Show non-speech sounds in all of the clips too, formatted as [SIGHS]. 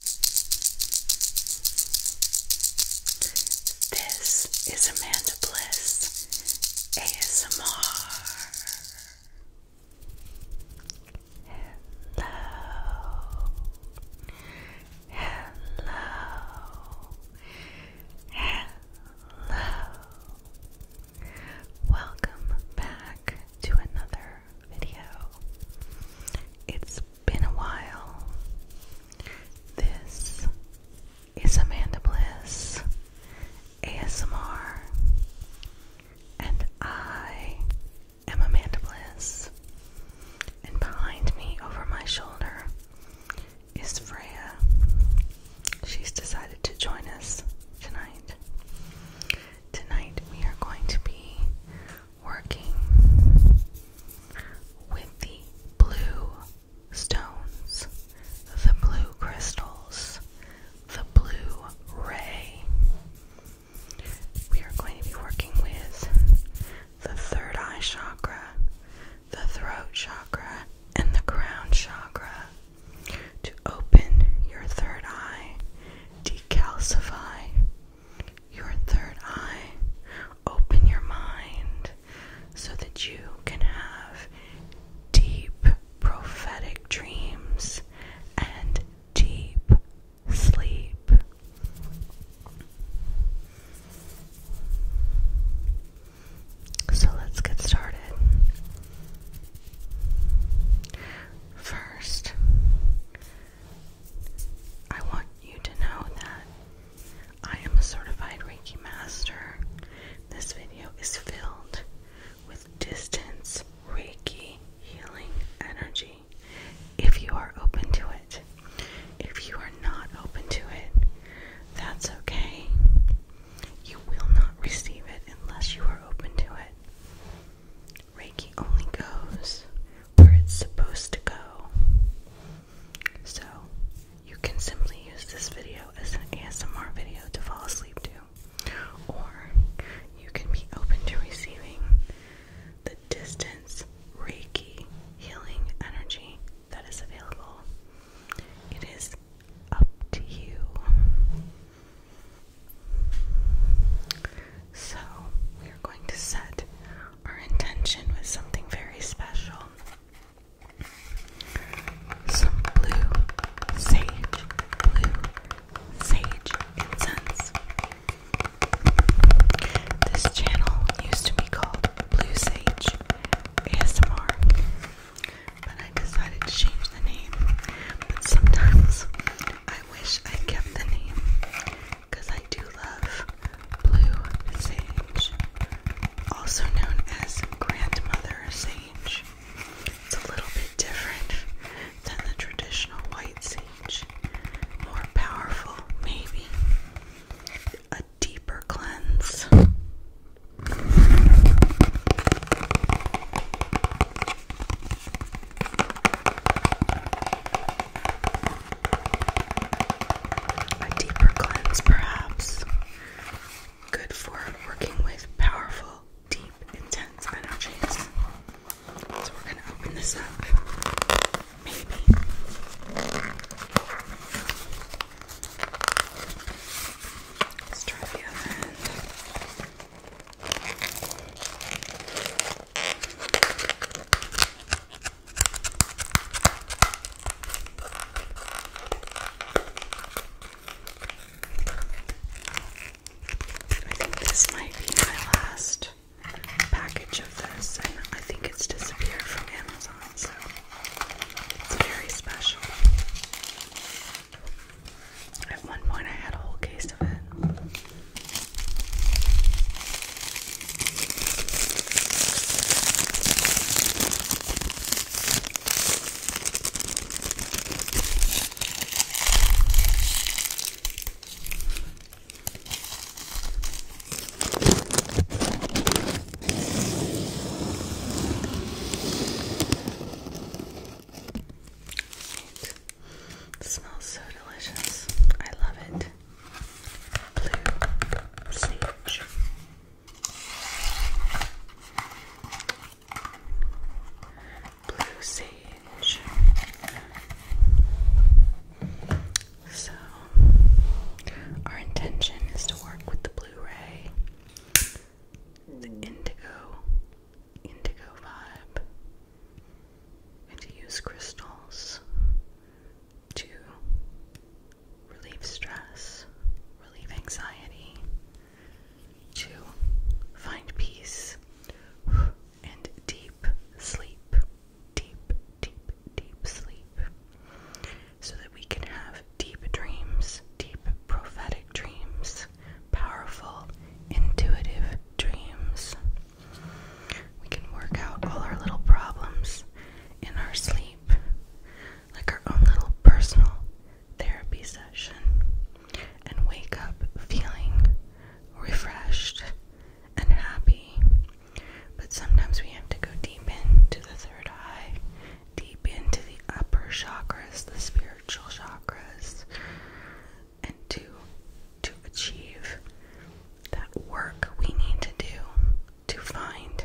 This is Amanda Bliss ASMR. Hello, hello, hello. Welcome back to another video. It's been a while. This is Amanda Bliss ASMR, and I am Amanda Bliss. And behind me, over my shoulder, is Freya. She's decided to join us tonight. Tonight, we are going to be working with the blue stones, the blue crystals, the blue ray. We are going to be working with the third eye chakra, the throat chakra, and the crown chakra to open your third eye, decalcify your third eye, open your mind so that you can have deep prophetic dreams and deep sleep. So let's get started. First, I want you to know that I am a certified Reiki master. This video is filled with distance Reiki healing energy. If you are open to it, if you are not open to it, that's okay. You will not receive it unless you are open to it. Reiki only goes where it's supposed to go. So, you can simply use this video as an ASMR video to fall asleep to, or you can be open to receiving the distance Reiki healing energy that is available. It is up to you. So, we are going to set our intention was something very special. Some blue sage, blue sage incense. This channel used to be called Blue Sage ASMR, but I decided to change the name. sometimes I wish I kept the name because I do love blue sage, also known as grandmother sage. It's a little bit different than the traditional white sage, more powerful, maybe a deeper cleanse. A deeper cleanse, perhaps. Good for working with powerful, deep, intense energies. So we're going to open this up. Maybe. Let's try the other end. I think this might be my last package of this, and I think it's disappeared from Amazon, so it's very special. At one point, I had a whole case of it smells so delicious. I love it blue sage. So, our intention is to work with the Blu ray, the indigo, indigo vibe, and to use crystals to relieve stress, relieve anxiety, to find peace and deep sleep, deep, deep, deep sleep, so that we can have deep dreams, deep prophetic dreams, powerful, intuitive dreams. We can work out all our little problems in our sleep, like our own little personal therapy session, and wake up feeling refreshed and happy. But sometimes we have to go deep into the third eye, deep into the upper chakras, the spiritual chakras, and do to achieve that work we need to do to find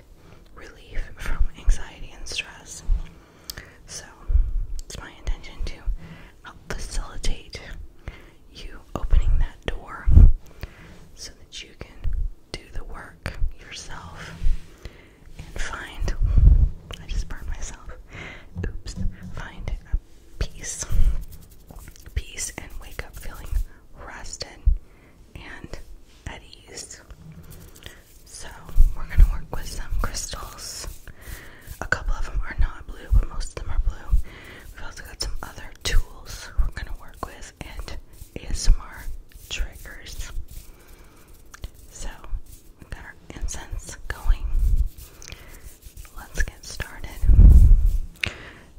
relief from anxiety and stress. So, it's my intention to help facilitate you opening that door so that you can do the work yourself and find. I just burned myself. Oops. Find peace. Peace and wake up feeling rested, and at ease. So, we're going to work with some crystals. A couple of them are not blue, but most of them are blue. We've also got some other tools we're going to work with and ASMR triggers. So, we've got our incense going. Let's get started.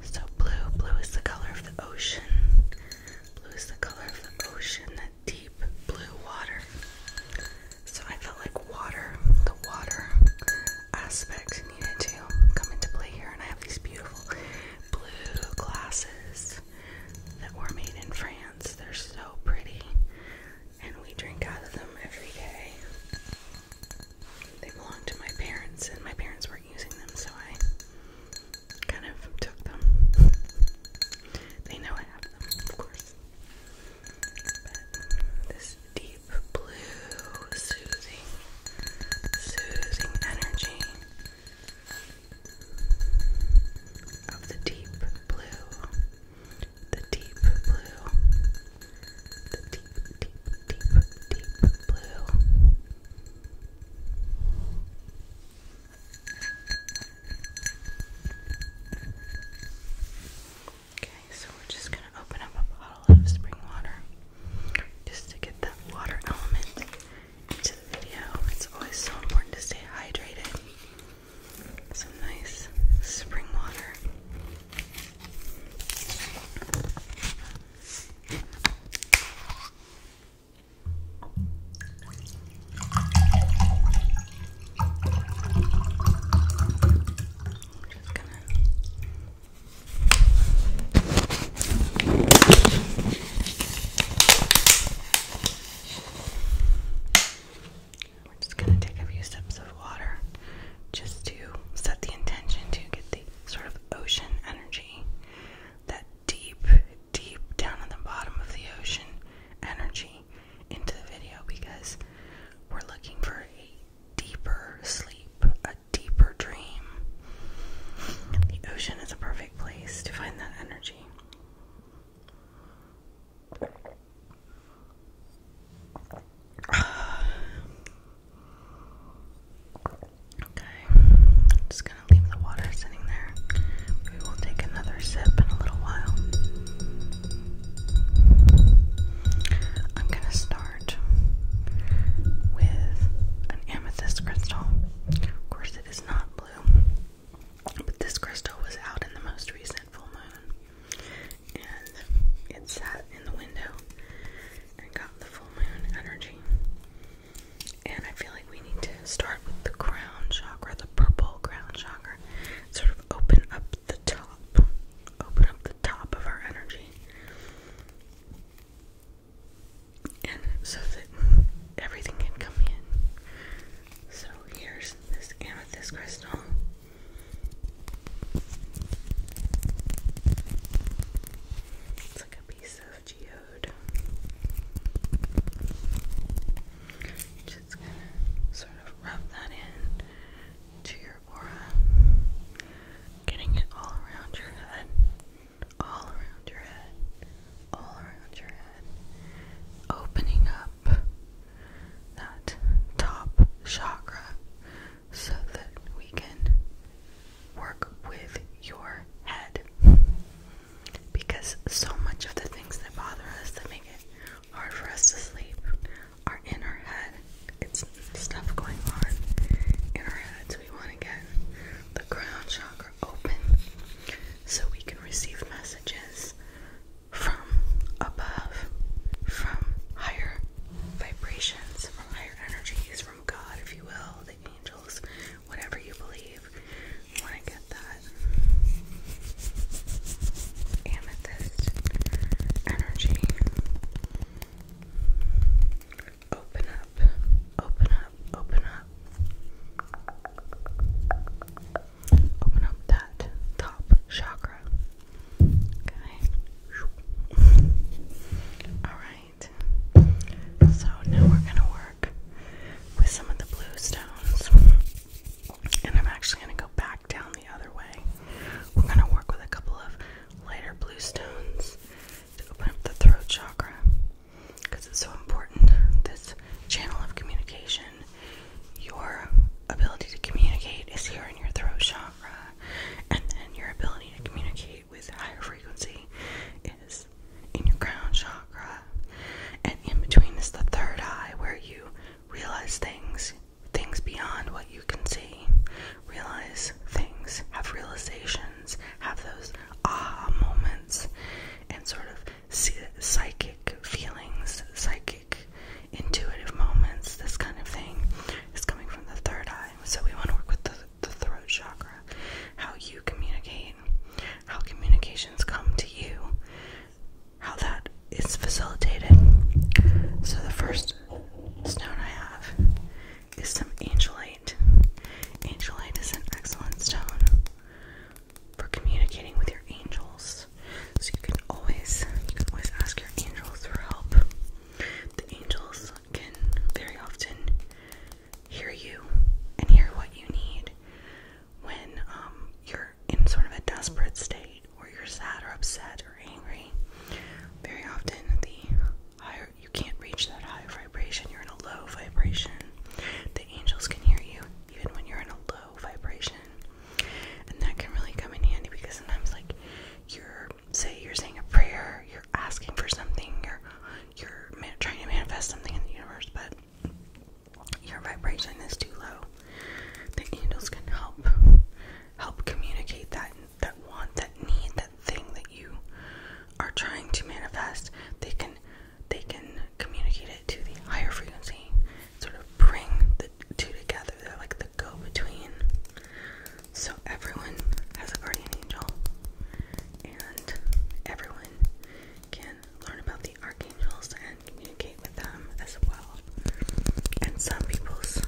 So blue, blue is the color of the ocean. Blue is the color of the ocean, that deep blue water. So I felt like water, the water aspect needed to come into play here. And I have these beautiful blue glasses that were made in France. They're so pretty. And we drink out of them every day they belong to my parents, and my parents weren't using them, so I kind of took them. they know I of course. But this deep blue, soothing, soothing energy of the deep blue, the deep blue, the deep, deep, Okay, so we're just going to open up a bottle of spring water just to get that water element into the video. It's always so important to stay hydrated. Some nice spring water just gonna we're just going to take a few sips of water just to set the intention to get the sort of ocean energy that deep, deep down in the bottom of the ocean energy into the video because we're looking for a deeper sleep, a deeper dream. The ocean is a perfect place to find that energy. [SIGHS] Okay, just gonna leave the water sitting there. We will take another sip in a little while. I'm gonna start with an amethyst crystal. Of course, it is not blue, but this crystal was out in the most recent full moon. And it sat in the window and got the full moon energy. And I feel like we need to start with the crown chakra, the purple crown chakra. Sort of open up the top. Open up the top of our energy. And so that everything can come in. So here's this amethyst crystal. It's like a piece of just gonna sort of rub that in to your aura, getting it all around your head, all around your head, all around your head, opening up that top chakra so that we can work with your head because so much of the things that bother us that make it hard for us to sleep are in our head. It's stuff going on in our heads. We want to get the crown chakra open so we can receive messages from above, from higher vibrations, from higher energies, from God, if you will angels, whatever you believe. want to get that amethyst energy. Open up, open up, open up. Open up that top chakra. Okay. [LAUGHS] All right. So now we're gonna work with some of the blue stones. And I'm actually gonna go back down the other way. We're gonna work with a couple of lighter blue stones to open up the throat chakra. Because it's so important, this channel of communication, your ability to communicate is here in your throat chakra, and your ability to communicate with higher frequency is in your crown chakra. And in between is the third eye where you realize things, things beyond what you can see, realize things, have realizations, have those aha moments, and sort of see psychic feelings, psychic intuitive moments, this kind of thing is coming from the third eye. So we want to work with the throat chakra how you communicate, how communications come to you, how that is facilitated. So, the first stone I have is some angelite. Angelite is an excellent stone for communicating with your angels. So you can always you can always ask your angels for help. The angels can very often hear you and hear what you need when um, you're in sort of a desperate state or you're sad or upset or angry. Very often, the higher you can't reach that high vibration, you're in a low vibration. The angels can hear you even when you're in a low vibration, and that can really come in handy because sometimes, like, you're say you're saying a prayer, asking for something, you're you're trying to manifest something in the universe, but your vibration is too low. The angels can help help communicate that that want, that need, that thing that you are trying to manifest. They can they can communicate it to the higher frequency, sort of bring the two together. They're like the go-between. So everyone has a guardian angel, and everyone can learn about the archangels and communicate with them as well. And some people's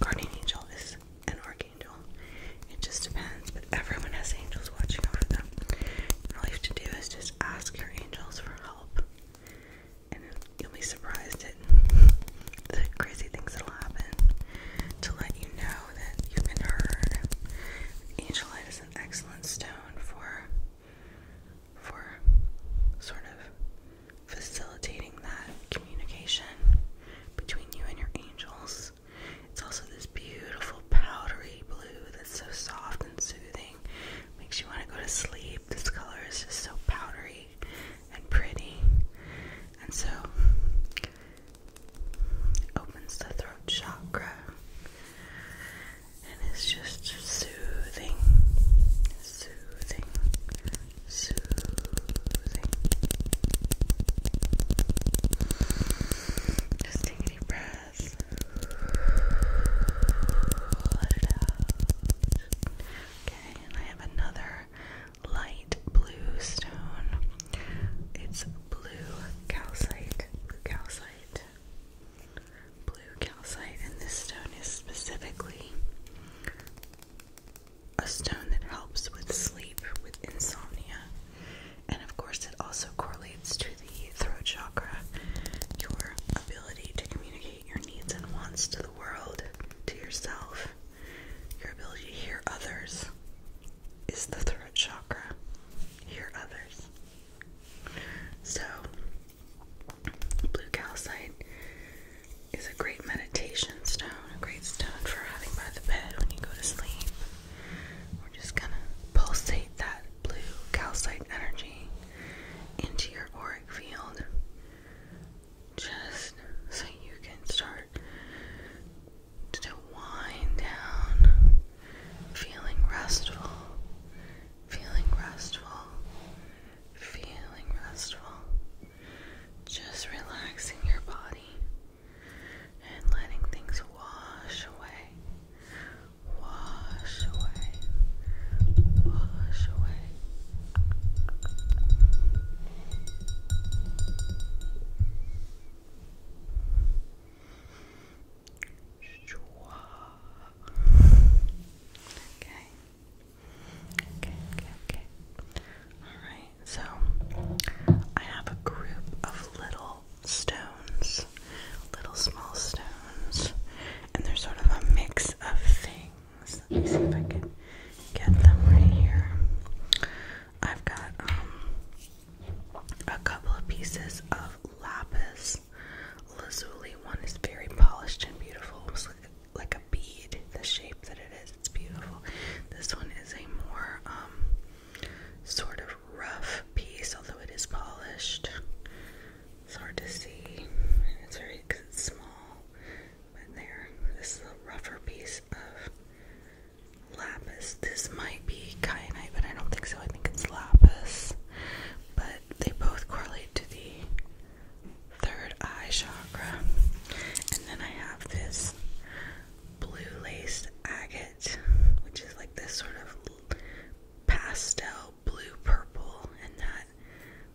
guardian angel is an archangel. It just depends, but everyone has angels watching over them. all you have to do is just ask your angels for help. And you'll be surprised at [LAUGHS] the crazy things that'll happen to let you know that you've been heard. Angel it is an excellent stone for for sort of facilitating that communication between you and your angels. It's also this beautiful powdery blue that's so soft and soothing. Makes you want to go to sleep. This color is just so powdery and pretty. And so opens the throat chakra and it's just soothing, soothing, soothing. Just take deep breath. Let it out. Okay, and I have another light blue stone. It's blue calcite blue calcite. Blue calcite, and this stone is specifically a stone that helps with sleep, with insomnia, and of course, it also correlates to the throat chakra, your ability to communicate your needs and wants to the world, to yourself, your ability to hear others is the throat chakra hear others. So, blue calcite is a great meditation stone, a great stone for having by the bed when you go to sleep. We're just gonna pulsate that blue calcite energy into your auric field just so you can start to wind down, feeling restful, feeling restful, feeling restful. Just relaxing your body and letting things wash away, wash away, wash away. Okay. Okay, okay, okay. Alright, so I have a group of little stones, little small stones, and they're sort of a mix of things. Let me see if I can get them right here. I've got um, a couple of pieces of lapis lazuli. One is very polished and beautiful. It's like, a bead, the shape that it is. It's beautiful. This one is a more um, sort of rough piece, although it is polished. It's hard to see. It's very small. But there, this is a rougher piece of lapis. This might be kyanite, but I don't think so. I think it's lapis. But they both correlate to the third eye chakra. And then I have this blue laced agate, which is like this sort of pastel blue purple, and that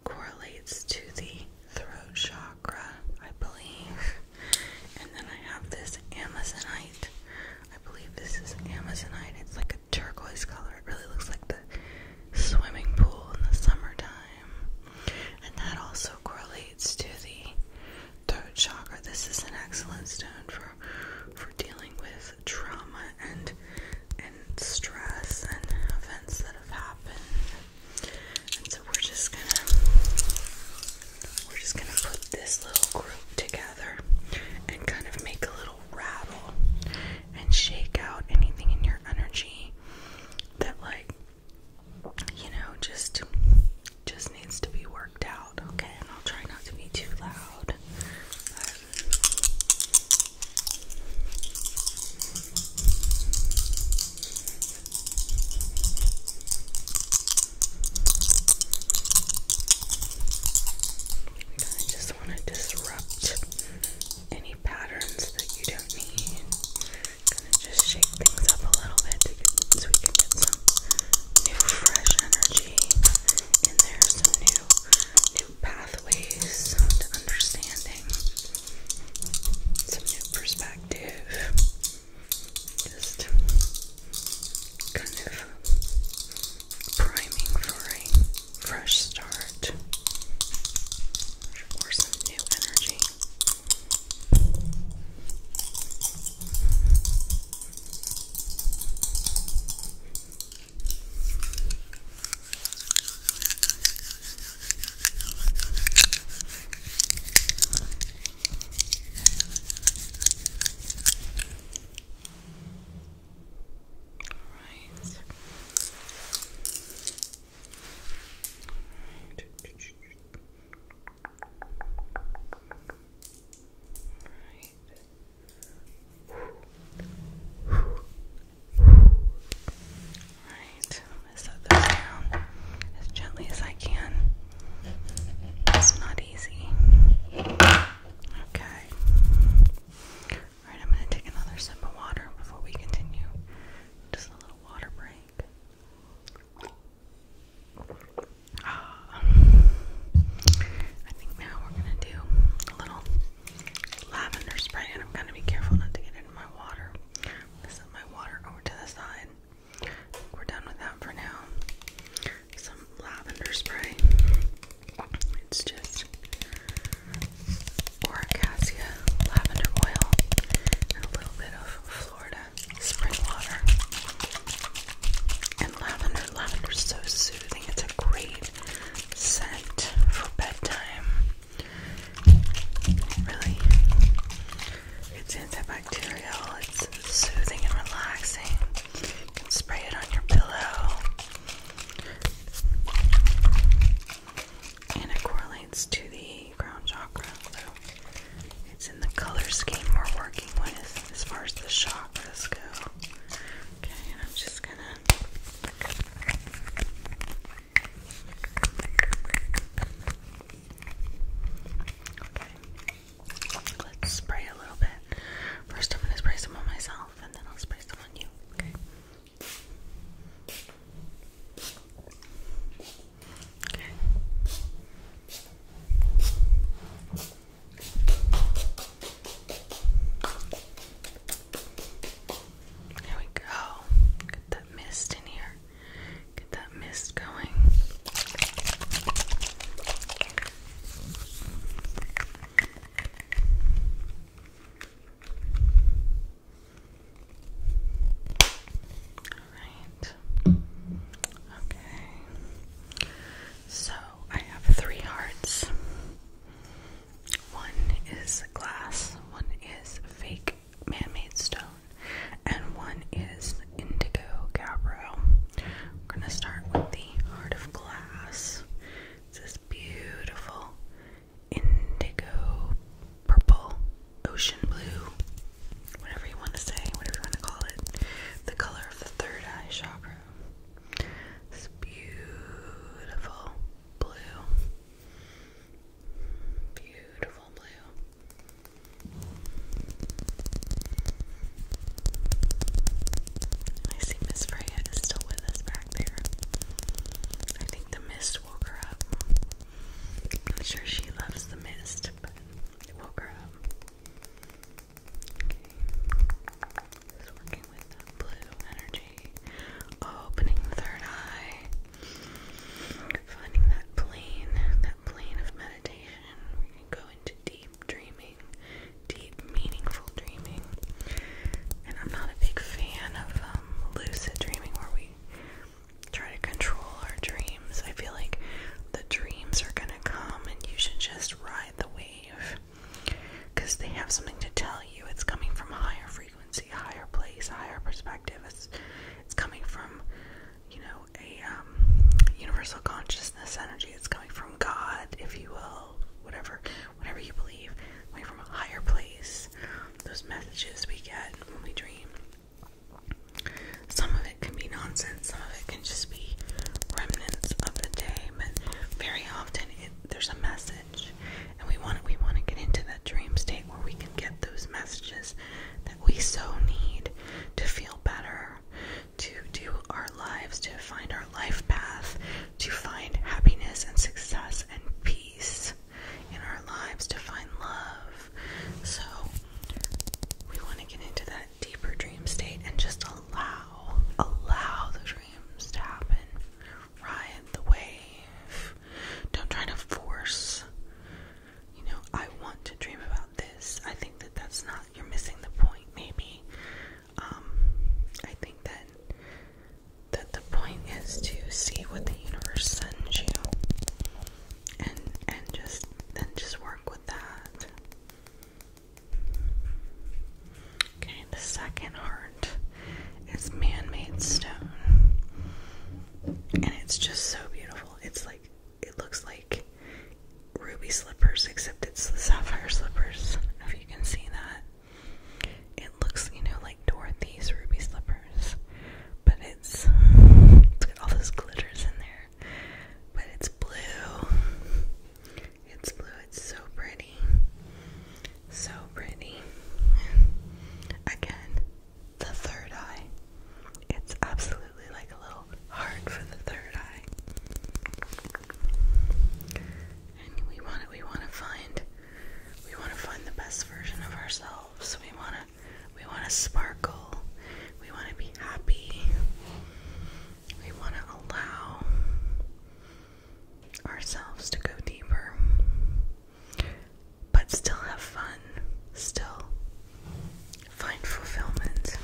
correlates to the throat chakra, I believe. And then I have this amazonite I believe this is Amazonite. It's like a turquoise color. It really looks like the swimming pool in the summertime. And that also correlates to the throat chakra. This is an excellent stone for for dealing with trauma and and stress and events that have happened. And so we're just gonna we're just gonna put this little group together and kind of make a little rattle and shake out anything in your energy that like you know just just needs to be worked out. Okay, and I'll try not to be too loud. I just want to disrupt any patterns that you don't need. going just shake things up a little bit so we can get some new, fresh energy in there, some new, new pathways to understanding, some new perspective. Just kind of priming for a fresh start or some new energy. Alright. Alright. Alright, I'm gonna set those down as gently as I can. It's not easy. Okay. Alright, I'm going to take another sip of water before we continue. Just a little water break. Ah. I think now we're going to do a little lavender spray, and I'm going to be careful not to get it in my water. i set my water over to the side. We're done with that for now some lavender spray. It's just Oracacia lavender oil and a little bit of Florida spring water. And lavender, lavender is so soothing. It's a great scent for bedtime. really, it's antibacterial. It's soothing and relaxing spray it on your pillow. And it correlates to the crown chakra. it's in the color scheme we're working with as far as the chakras go. Okay, and I'm just gonna. Let's spray a little bit. First, I'm going to spray some on myself and then I'll spray some on you, okay? There we go. Get that mist in here. Get that mist going. Alright. Okay. So I have three hearts. One is glass, one is fake man-made stone, and one is indigo gabbro. We're gonna start with the heart of glass. It's this beautiful indigo, purple, ocean blue, whatever you want to say, whatever you want to call it. The color of the third eye chakra. This beautiful blue. Beautiful blue. I see Miss Freya is still with us back there. I think the mist woke her up. not sure she loves the mist, but it woke her up. Okay. Just working with the blue energy. Opening the third eye. Finding that plane, that plane of meditation where you can go into deep dreaming, deep, meaningful dreaming. And I'm not a big fan of um, lucid dreaming where we try to control our dreams. I feel like the dreams are gonna come and you should just ride the wave because they have something to tell you. It's coming from a higher frequency, higher place, higher perspective. It's, it's coming from, you know, a um, universal consciousness energy. It's coming from God, if you will whatever, whatever you believe, coming from a higher place. Those messages we get when we dream. Some of it can be nonsense, some of it can just be remnants of the day, but very often there's a message, and we want we want to get into that dream state where we can get those messages that we so need to feel better, to do our lives, to find our life path, to find happiness and success and peace in our lives, to find love. So, we want to get into that deeper dream state and just allow, allow the dreams to happen. Ride the wave. Don't try to force. You know, I want to dream about this. I think that that's not, you're missing the point, maybe um, I think that that the point is to see what the universe sends you and and just then just work with that. Okay, the second heart is man-made stone. And it's just so beautiful. It's like it looks like ruby slippers except it's the sapphire slippers. if you can see that. It looks, you know, like Dorothy's ruby slippers, but it's it's got all those glitters in there. But it's blue. It's blue. It's so pretty. So pretty. Again, the third eye. It's absolutely like a little heart for the third eye we want to we want to find we want to find the best version of ourselves. We want to we want to sparkle. We want to be happy. We want to allow ourselves to go deeper. But still have fun. Still find fulfillment.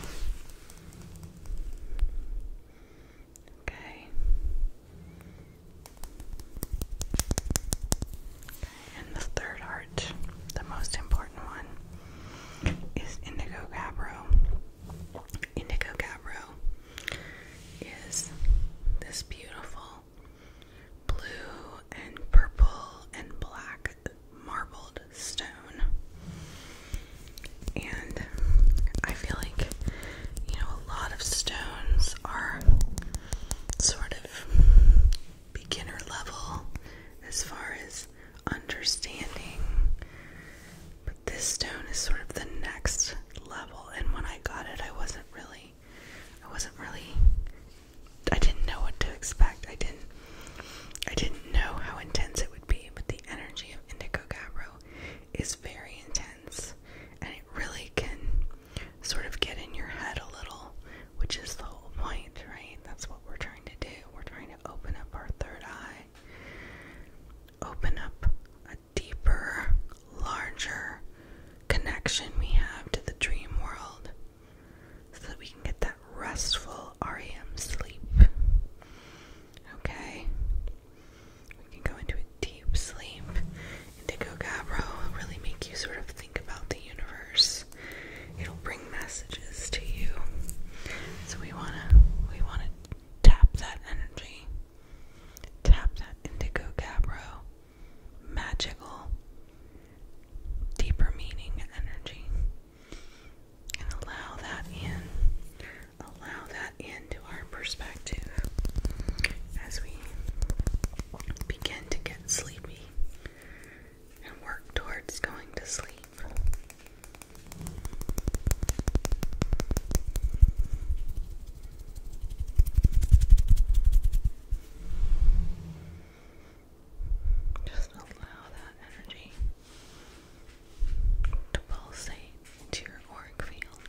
Okay. Okay, and the third art, the most important one, is Indigo Gabbro. Indigo Gabbro is this beautiful blue and purple and black marbled stone. And I feel like, you know, a lot of stones are sort of beginner level as far as understanding. But this stone is sort of the next level and when I got it I wasn't really I wasn't really I didn't know what to expect. I didn't I didn't know how intense it would be, but the energy of Indigo Gabbro is very intense and it really can sort of get in your head a little, which is the whole point, right? That's what we're trying to do. We're trying to open up our third eye, open up a deeper, larger connection we have to the dream world so that we can get that restful REM sleep. Okay, we can go into a deep sleep. Indigo Gabbro will really make you sort of think about the universe. It'll bring messages to you. So we wanna we wanna tap that energy. Tap that indigo cabro, Magical deeper meaning energy. And allow that in allow that into our perspective as we begin to get sleepy and work towards going to sleep. Just allow that energy to pulsate to your auric field.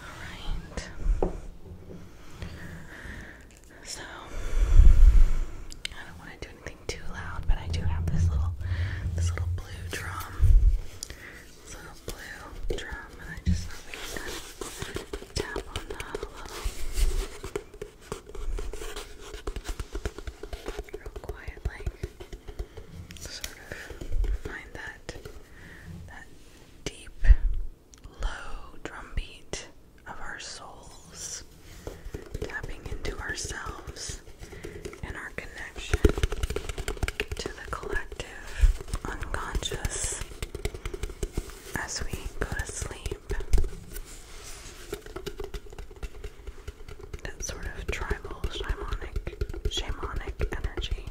Alright. So, I don't want to do anything too loud, but I do have this little, this little blue drum, this little blue drum, and I just thought we could kind of tap on that a real quiet, like sort of find that that deep, low drumbeat of our souls, tapping into ourselves and our connection to the collective unconscious as we go to sleep. That sort of tribal shamanic shamanic energy.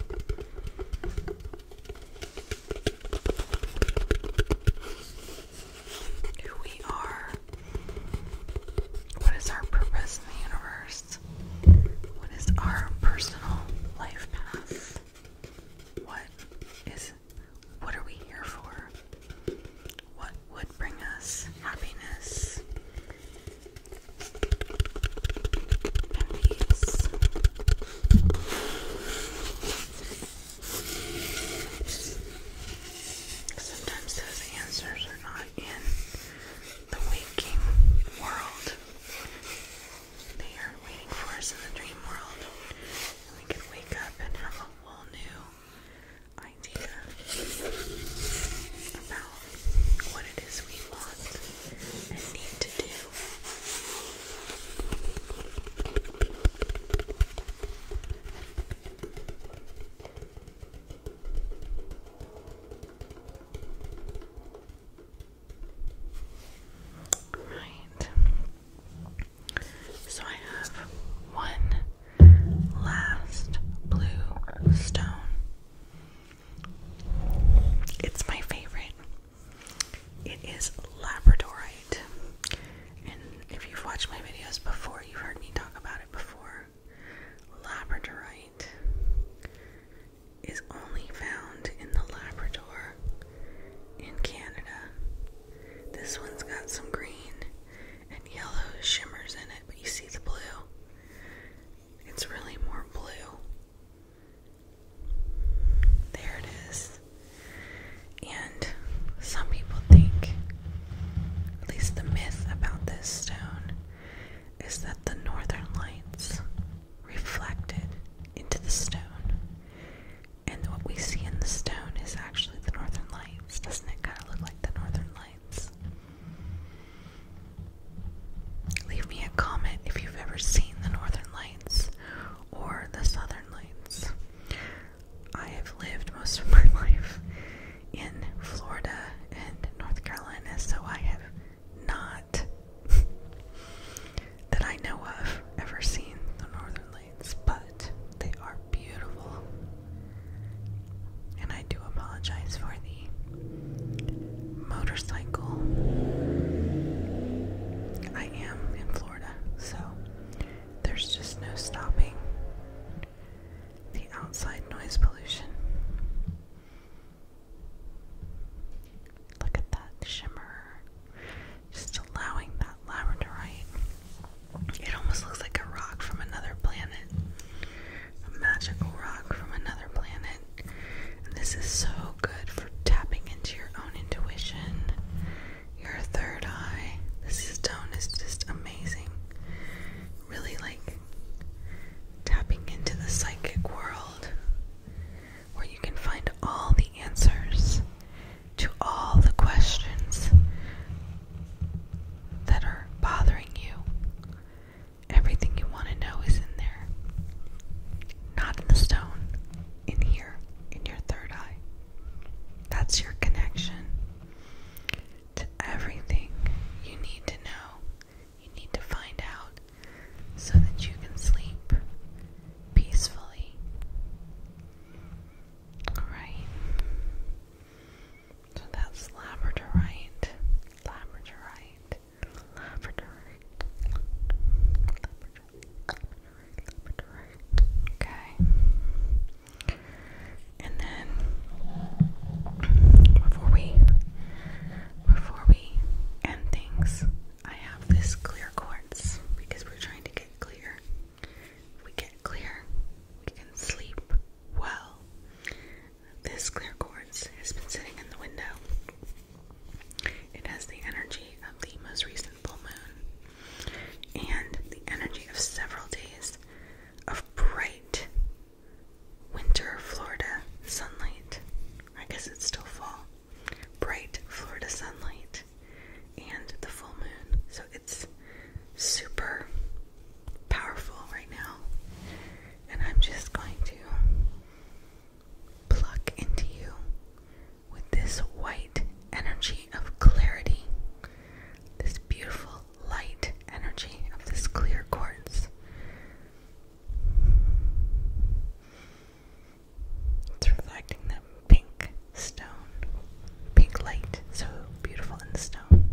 Who we are. What is our purpose in the universe? What is our personal life path? What is what are we here for? What would bring us happiness Sometimes those answers are not in the waking world. They are waiting for us in the dream world. And we can wake up and whole new idea about what it is we want and need Right. So I have one last blue stone. It's my favorite. It is Labradorite. And if you've watched my videos before, you've heard me talk about it before. Labradorite is only found in the Labrador in Canada. This one's got some green and yellow shimmers in it, but you see the blue. It's really more blue. There it is. And some people think, at least the myth about this stone, is that the northern lights reflected into the stone and what we see in the stone is actually the northern lights. Doesn't it kind of look like the northern lights? Leave me a comment if you've ever seen the northern lights or the southern lights. I have lived most of [LAUGHS] my life in Florida and North Carolina, so I have not, [LAUGHS] that I know of, ever seen the northern lights but they are beautiful. And I do apologize for the motorcycle. I am in Florida, so there's just no stopping the outside noise pollution. Look at that shimmer. Just allowing that labradorite. It almost looks like a rock from another planet. A magical rock from another planet. And this is so good for tapping into your own intuition, your third eye. This stone is just amazing. Really like tapping into the psychic world where you can find all the answers to all the questions that are bothering you. Everything you want to know is in there. Not in the stone, in here, in your third eye. That's your connection to everything you need to know, you need to find out, so that you can sleep peacefully. Alright. So that's labradorite. Labradorite. Labradorite. Labradorite. Labradorite. Okay. And then before we before we end things, I have this clear quartz because we're trying to get clear we get clear, we can sleep well. This clear quartz has been sitting in the window. It has the energy of the most recent full moon and the energy of several days of bright winter Florida sunlight. I guess it's still fall. Bright Florida sunlight and the full moon. So it's super powerful right now. And I'm just going to pluck into you with this white energy of clarity, this beautiful light energy of this clear quartz. It's reflecting that pink stone, pink light, so beautiful in the stone.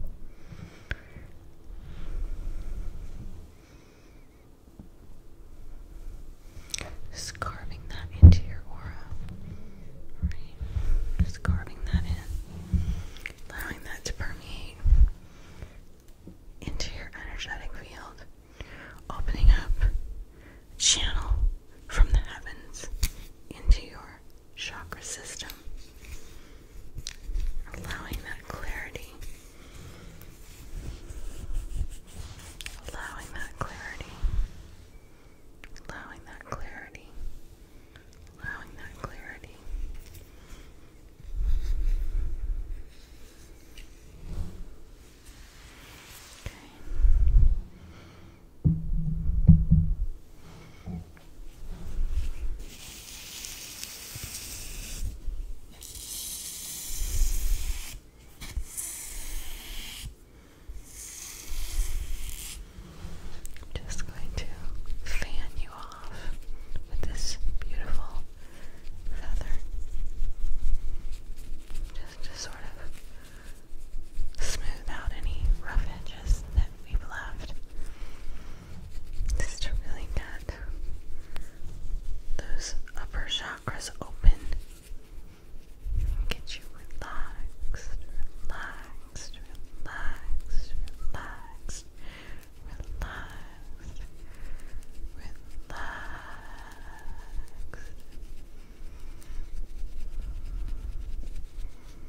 Just carving that into your aura. Just carving that in. Allowing that to permeate into your energetic field. Opening up channel from the heavens into your chakra system, allowing that clarity, allowing that clarity, allowing that clarity, allowing that clarity. Okay i just going to fan you off with this beautiful feather just sort of smooth out any rough edges that we've left. Just to really get those upper chakras open. Get you relaxed, relaxed, relaxed, relaxed, relaxed, relaxed.